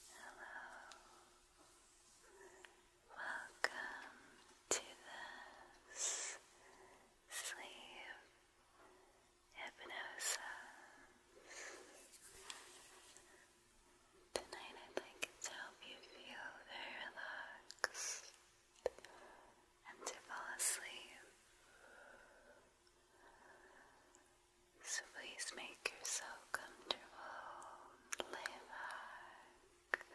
Hello. Welcome to this sleep hypnosis. Tonight I'd like help you feel very relaxed and to fall asleep. So please make yourself comfortable. Lay back.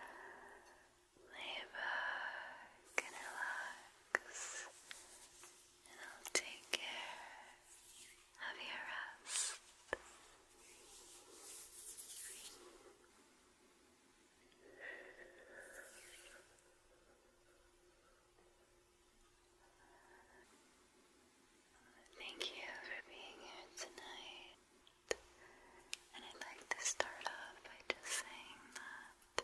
Lay back and relax. And I'll take care of your rest. Thank you for being here tonight. And I'd like to start off by just saying that,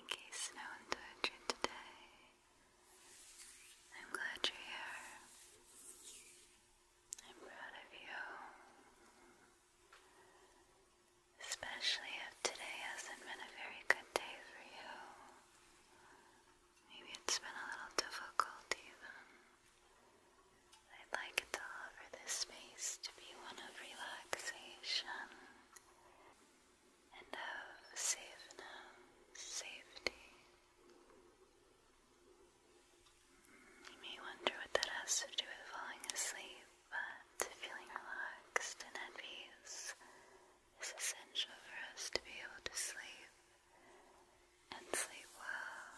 in case no one told you today, I'm glad you're here. I'm proud of you. Especially if today hasn't been a very good day for you. Maybe it's been a little difficult even. I'd like to offer this space to be one of relaxation and of safeness, safety. You may wonder what that has to do with falling asleep, but feeling relaxed and at peace it's essential for us to be able to sleep and sleep well.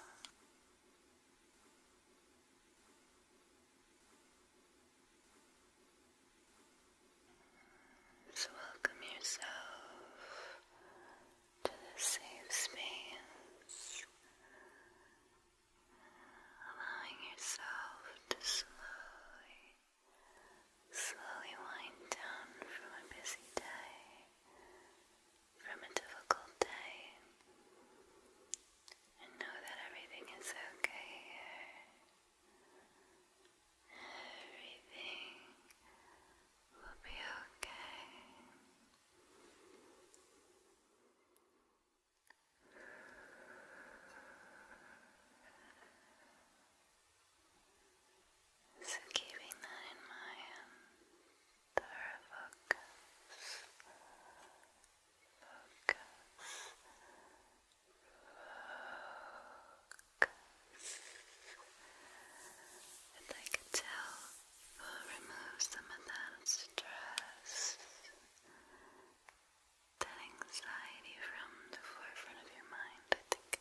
So, welcome yourself to this safe space, allowing yourself to slowly. Slowly wind down from a busy day, from a difficult day, and know that everything is okay here. Everything will be okay. So keeping that in mind, focus, focus, focus. If I can tell, we'll remove some of that stress, that anxiety from the forefront of your mind. I think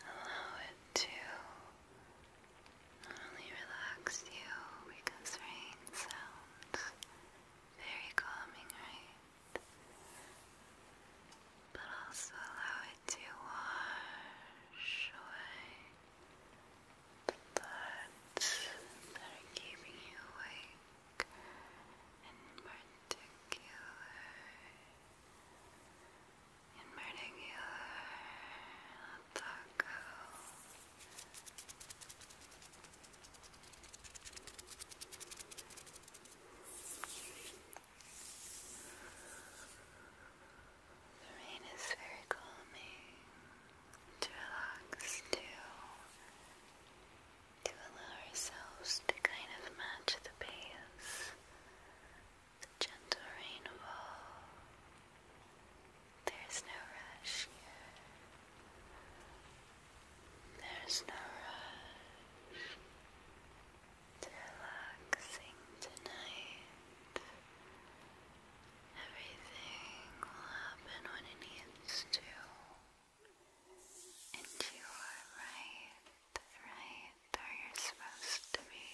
Allow it to only relax you because rain sounds very calming, right? But also allow it to wash away the thoughts that are keeping you awake. In particular, in particular taco the rain is very calming to relax to to allow ourselves to kind of match the pace the gentle rainfall. There's no rush here. There's no rush. It's relaxing tonight. Everything will happen when it needs to. And you are right right where you're supposed to be,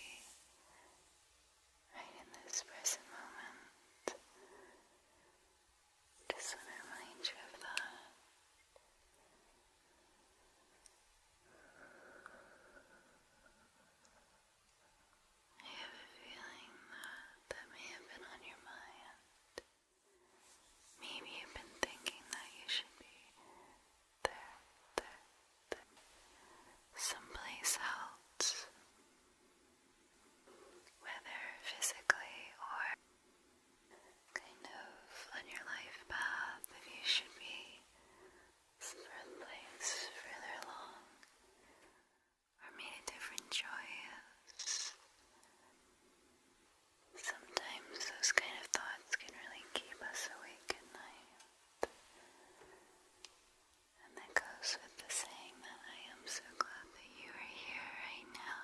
right in this present moment. Just to remind you of that. I have a feeling that that may have been on your mind. Maybe you've been thinking that you should be someplace else, whether physically or kind of on your life path, if you should be someplace further along or made a different choice. Sometimes those kind of thoughts can really keep us awake at night. And that goes with the saying that I am so glad that you are here right now.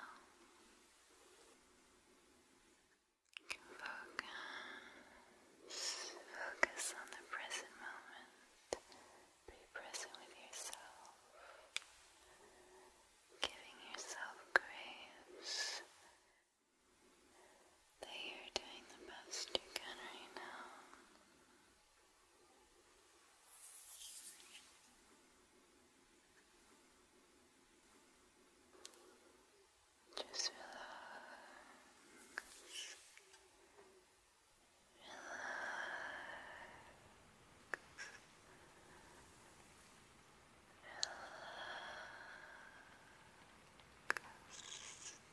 focus, focus on the present moment, be present with yourself, giving yourself grace they are doing the best you can right now. Just relax. Relax. Relax.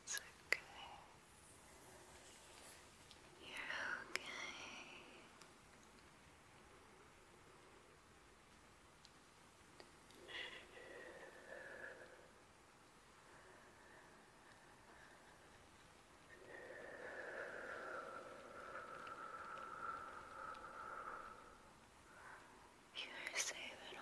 It's okay. You're okay. Relax. You are safe at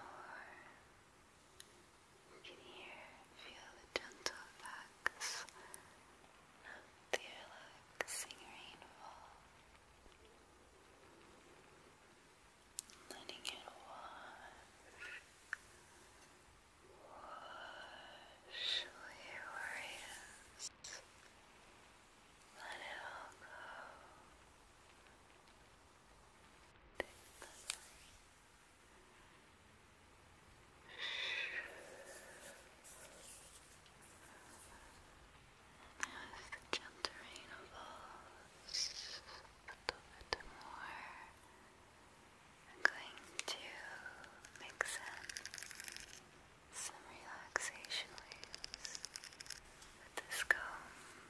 You can hear feel the gentle effects of the relaxing rainfall. Letting it wash, wash away worries. Let it all go. As the gentle rain falls a little bit more, I'm going to mix in some relaxation waves with this comb.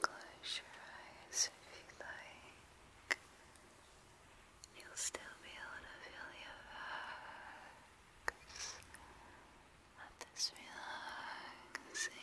Close your eyes if you like. You'll still be able to feel your legs at this relaxation.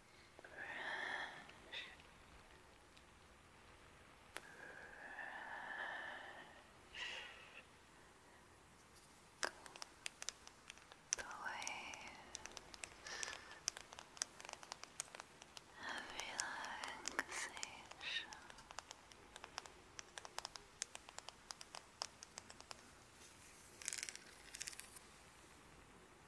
brush, brush the waves of relaxation. Brush,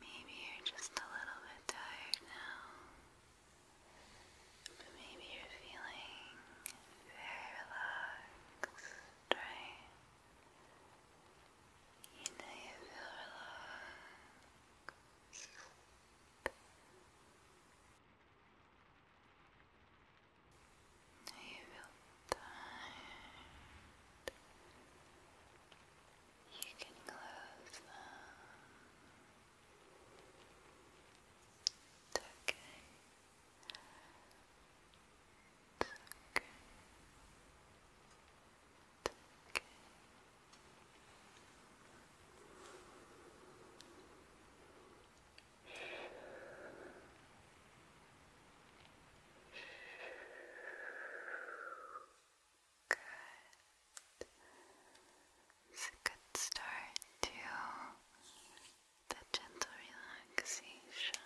Maybe you're just a little bit tired now, but maybe you're feeling very relaxed, right? You know you feel relaxed. You feel tired. You can close them. It's okay. It's okay. It's okay. Good. It's a good start to the gentle relaxation.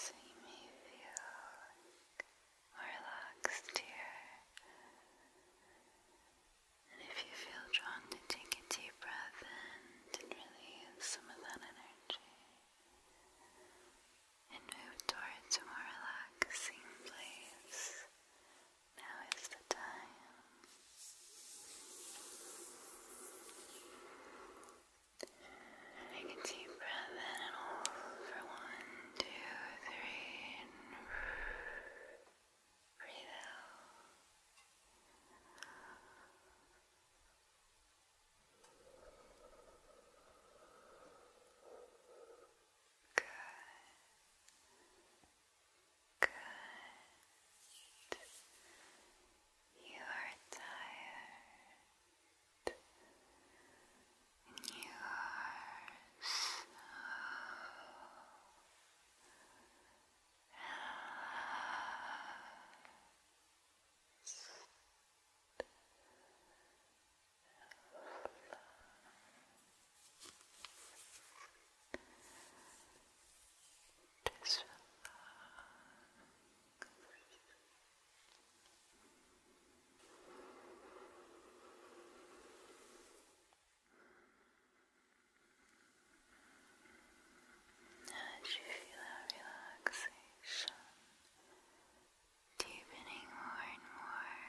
See me may feel relaxed here. And if you feel drawn to take a deep breath and release some of that energy and move towards a more relaxing place, now is the time. Take a deep breath in and out for one, two, three, breathe out. Good. Good. You are tired. You are so relaxed. Just relax. Relax. As you feel that relaxation deepening more and more,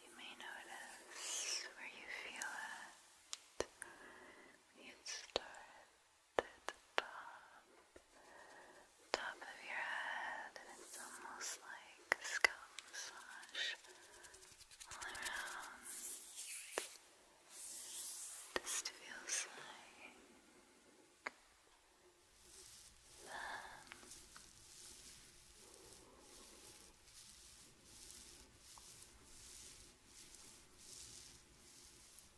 you may notice where you feel it. You start at the top, top of your head, and it's almost like scalp massage all around. This feels like that.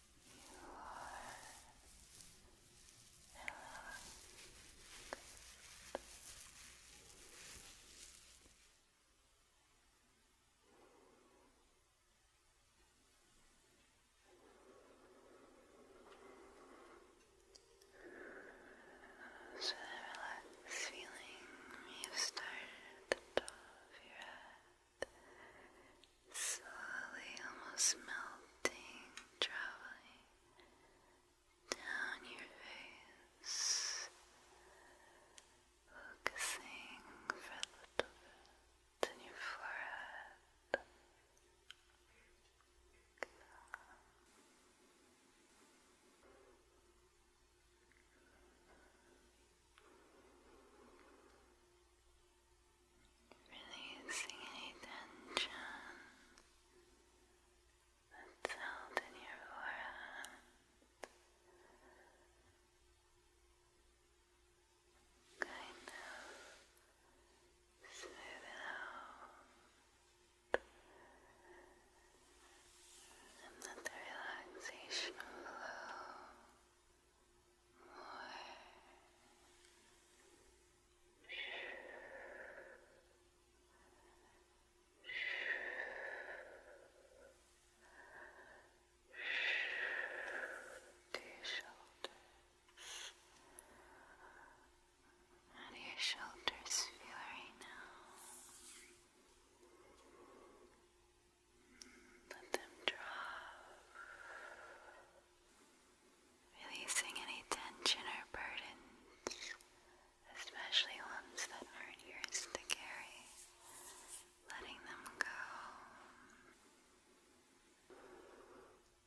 You are so the feeling you started at the top of your slowly almost melting, traveling down your face, focusing for a little bit on your forehead. Releasing any tension that's held in your forehead. Kind of smooth out. And let the relaxation flow your shoulders. How do your shoulders feel right now? Let them drop. Releasing any tension or burdens, especially ones that aren't yours to carry, letting them go.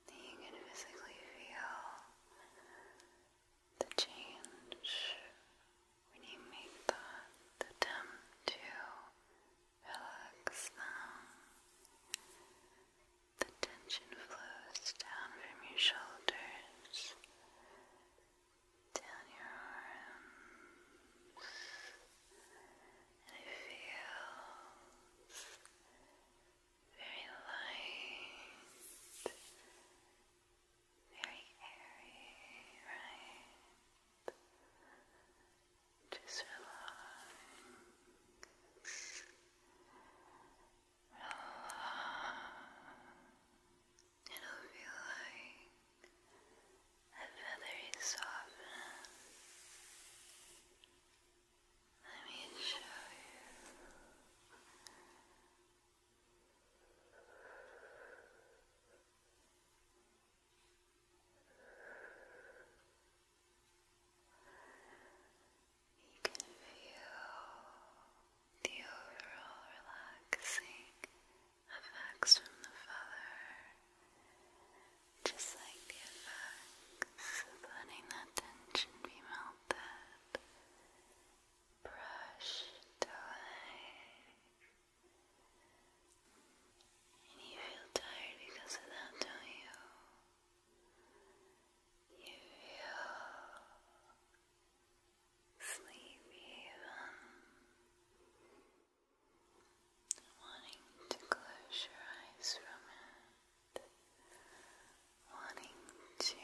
You can physically feel the change when you make the attempt to Relax now. The tension flows down from your shoulders, down your arms, and it feels very light, very airy, right? Just relax. Relax. It'll feel like a feathery soften. Let me show you. You can feel the overall relaxing effects from the feather, just like the effects of letting that tension be melted, brushed away. And you feel tired because of that, don't you? You feel sleepy um, Wanting to close your eyes from it. Wanting to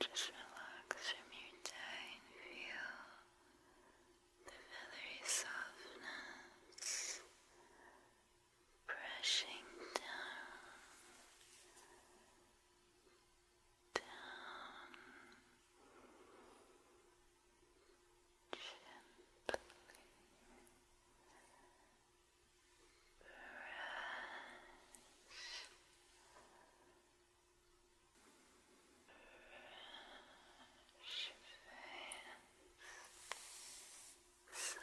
just relax from your day and feel the feathery softness brushing down, down, gently brush shifting softly, softly around. Shifting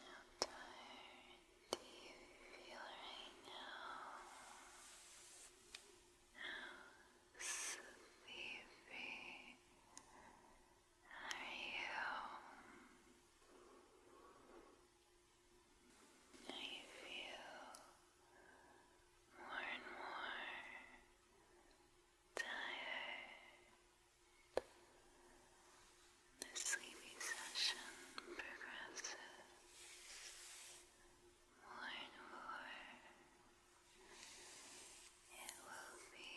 how tired do you feel right now? How sleepy are you? I feel more and more tired. The sleepy session progresses more and more. It will be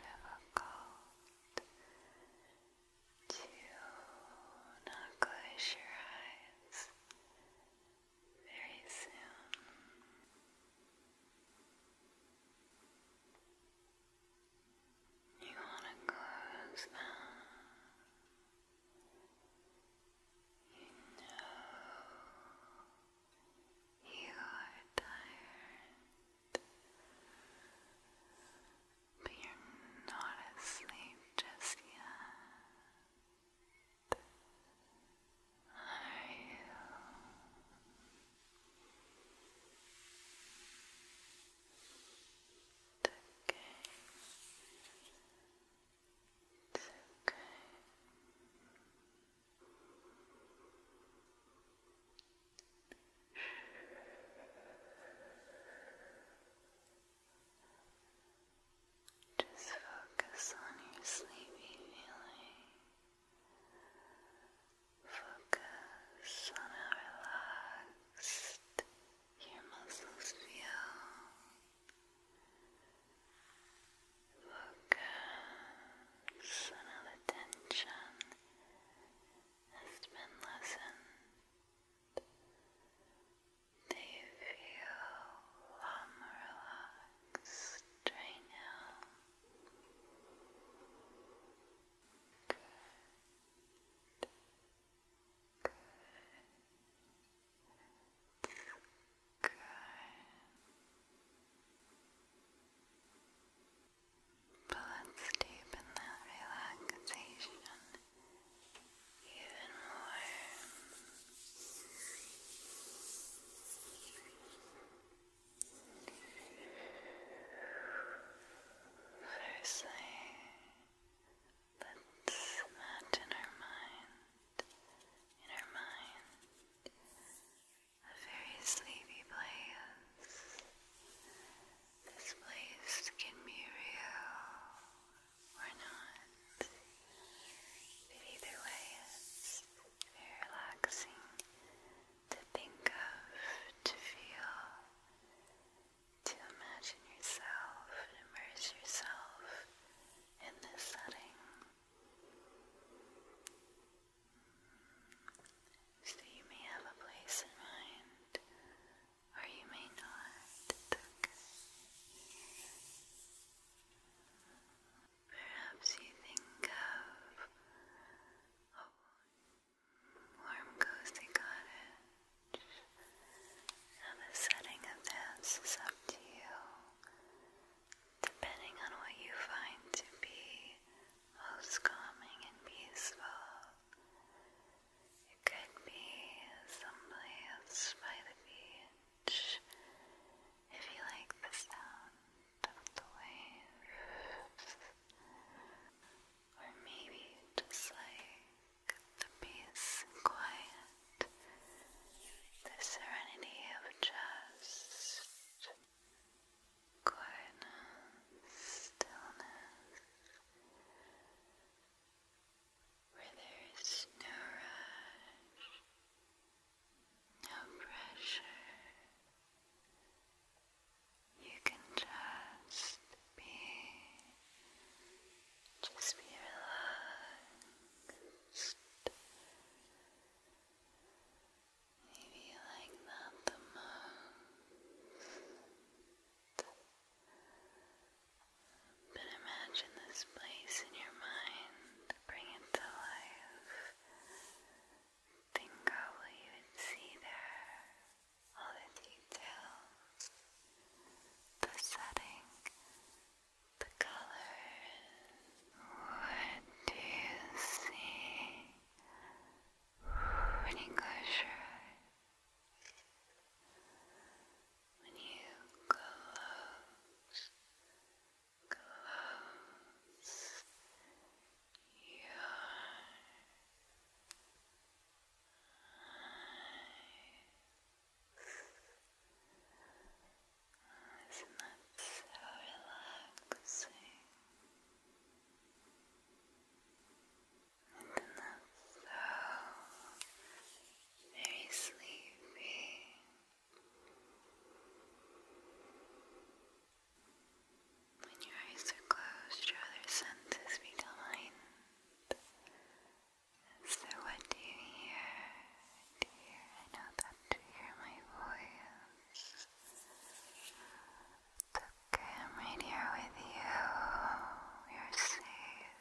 difficult to not close your eyes very soon. You want to close them. You know you are tired, but you're not asleep just yet are you? It's okay. It's okay. It's okay. Just focus on your sleepy feeling. Focus on how relaxed your muscles feel. Focus on how the tension has been lessened. They feel um, relaxed right now. Good. Good. Good. But let's deepen that relaxation even more. Firstly, let's not our mind, in our mind, a very sleepy place. This place can be real, or not. But either way, it's very relaxing to think of, to feel, to imagine yourself, immerse yourself in this setting. So you may have a place in mind, or you may not. Perhaps you think of a warm, cozy cottage. Now, the setting of the is up to you, depending on what you find to be most calming and peaceful. It could be someplace by the if you like the sound of the waves, or maybe just like the peace and quiet, the serenity of just quietness, stillness where there is no rush, no pressure. You can just be, just be relaxed. Maybe you like that the most. But imagine this place in your mind, bring it to life. Think of you would see there, all the details, the setting, the colors. What do you see when you when you close, close your eyes. Isn't that so relaxing? Isn't that so very sleepy? When your eyes are closed, your other senses become heightened. So what do you hear? Do I know that you hear my voice. It's okay, i here with you. You're safe.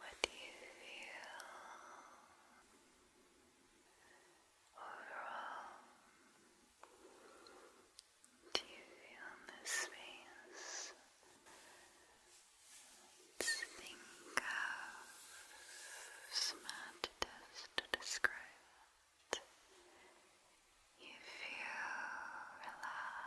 What do you feel overall? Do you feel the space? think of smart to describe it. You feel relaxed.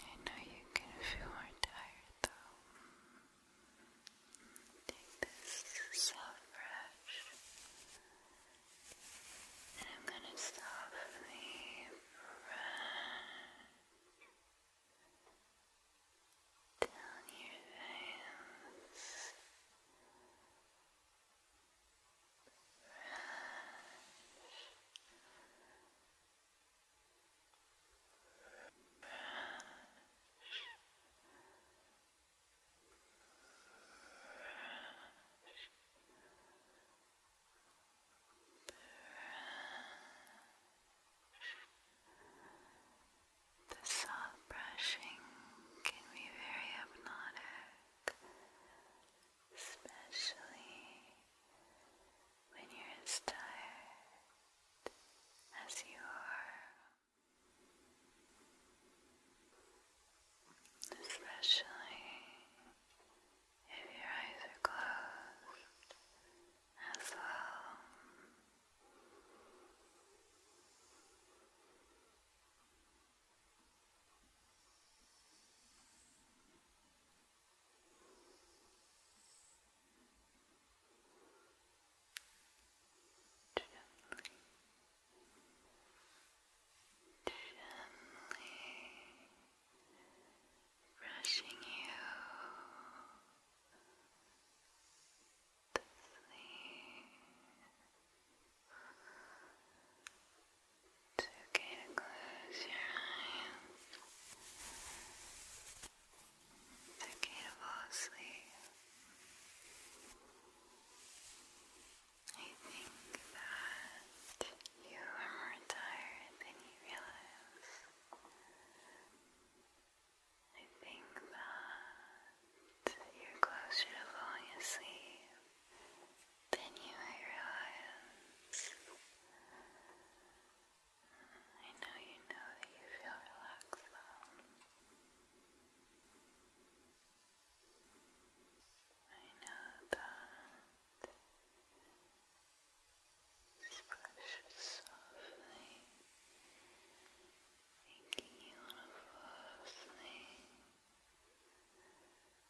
I know you can feel more tired though. Take this soft brush and I'm going to softly brush down your veins. The soft brushing can be very hypnotic especially when you're as tired as you are, especially if your eyes are closed as well. Gently, gently brushing you to sleep. It's okay to close your eyes. It's okay to fall asleep. I think that you are more tired than you realize. I think that you're closer to falling asleep then you might realize I know you know that you feel relaxed I know that splash softly making you want to fall asleep.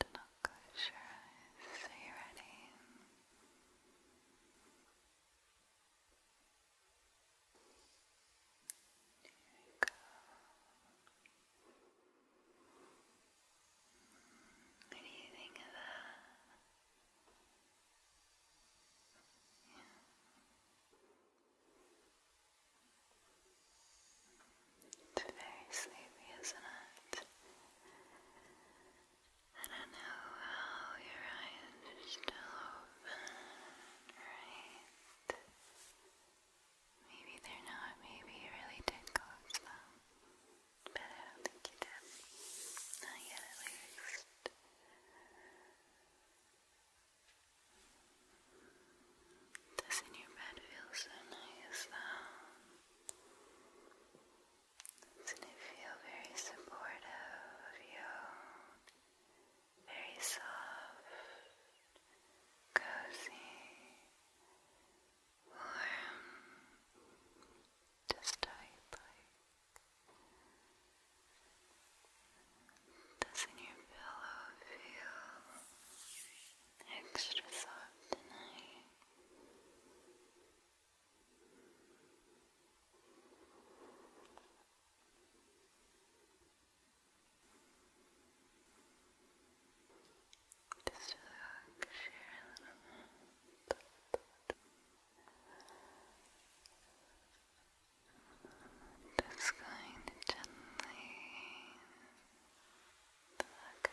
Do not close your eyes. Are you ready? Here we go. What do you think of that? It's very sleepy, isn't it? I don't know how your eyes are still open, right? Maybe they're not, maybe you really did close them. But I don't think you did. Not yet at least. Doesn't your bed feel so nice though? Doesn't it feel very supportive of you? Very soft, cozy, warm, does your pillow feel extra soft tonight? Just relax, share a Just going to gently relax you.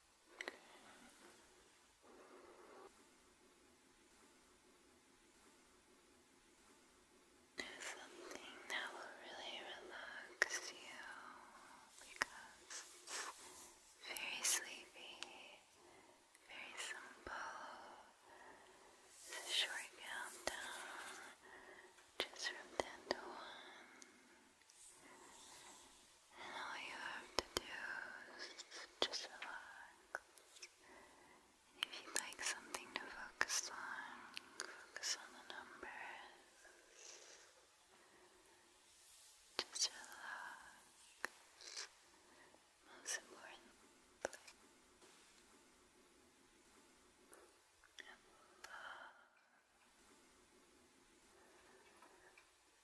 There's something that will really relax you because it's very sleepy, very simple. It's a short countdown, just from 10 to 1. And all you have to do is just relax. if you'd like something to focus on, focus on the numbers. Just relax. Most importantly, and love.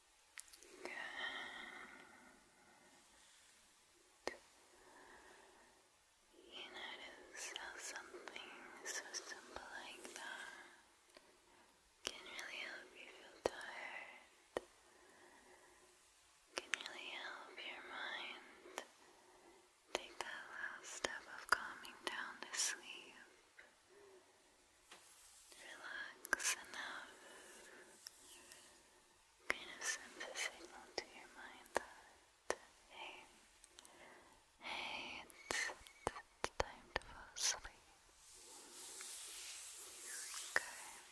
Good. You notice how something so simple like that can really help you feel tired, can really help your mind take that last step of calming down to sleep relax enough kind of send a signal to your mind that it's, time to fall asleep okay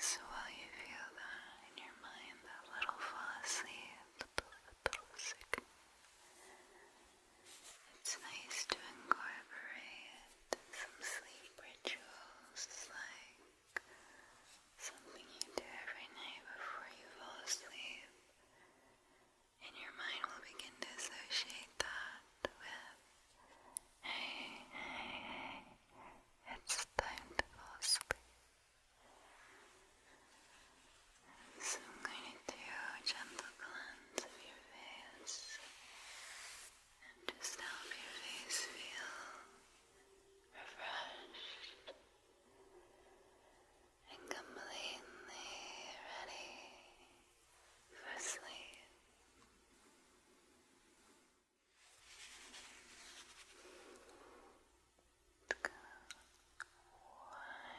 so while you feel that in your mind, that little fall asleep, little, little signal it's nice to incorporate some sleep rituals like something you do every night before you fall asleep. And your mind will begin to associate that with, hey, hey, it's time to fall asleep. So I'm going to do gentle cleanse ends of your face and just help your face feel refreshed and completely ready for sleep. Go wide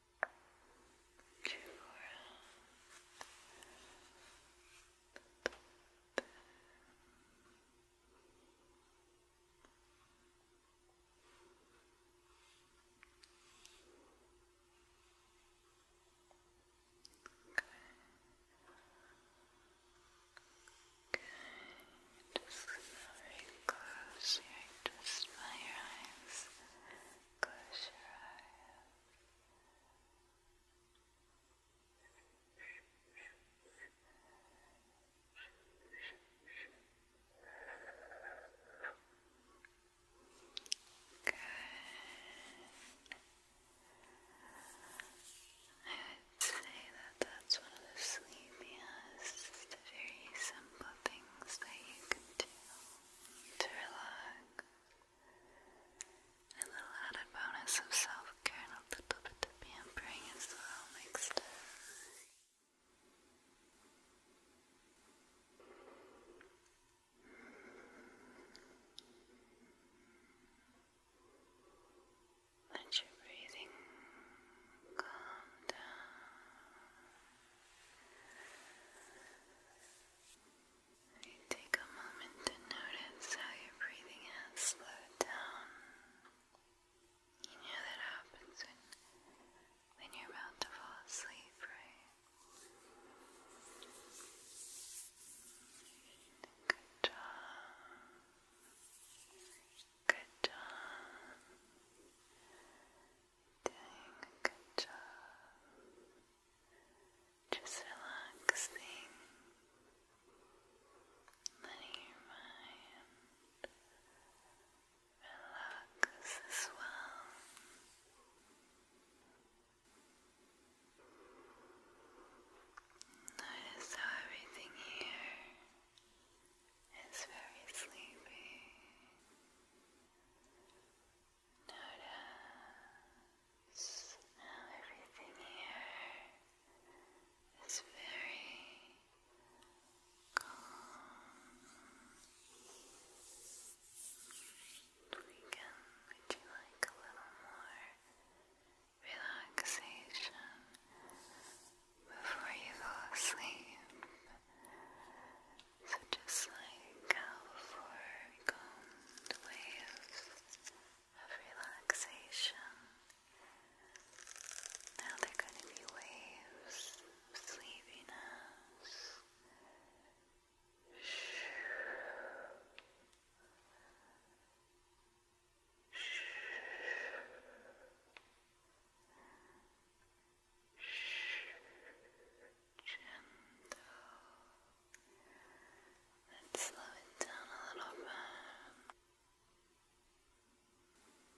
to around Just very close here, just by your eyes. Close your eyes. Good. I would say that that's one of the sleepiest, very simple things that you can do to relax. A little added bonus of self care and a little bit of pampering is well mixed Let your breathing calm down. You take a moment to notice how your breathing has slowed down. You know that happens when, when you're about to fall asleep, right? Good job. Good job. Doing a good job. Just relaxing. Letting your mind relax as well. Notice how everything here is very sleepy. Notice how everything here is very calm. would you like a little more relaxation before you fall asleep? So just like how before we combed waves of relaxation, now they're going to be waves of sleepiness. Gentle. Let's slow it down a little bit. Good.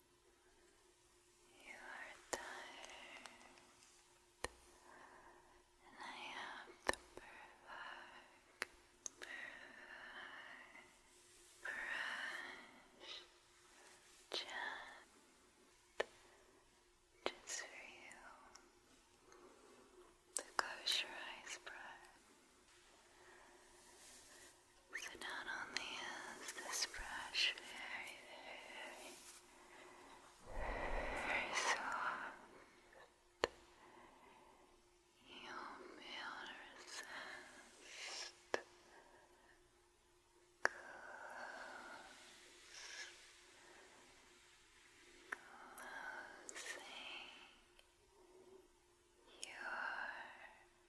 You are tired, and I have the perfect, brush, just, for you, the kosher ice brush. So not only is this brush very, very, very soft, you'll be able to resist close, closing your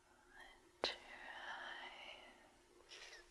let your eyes close.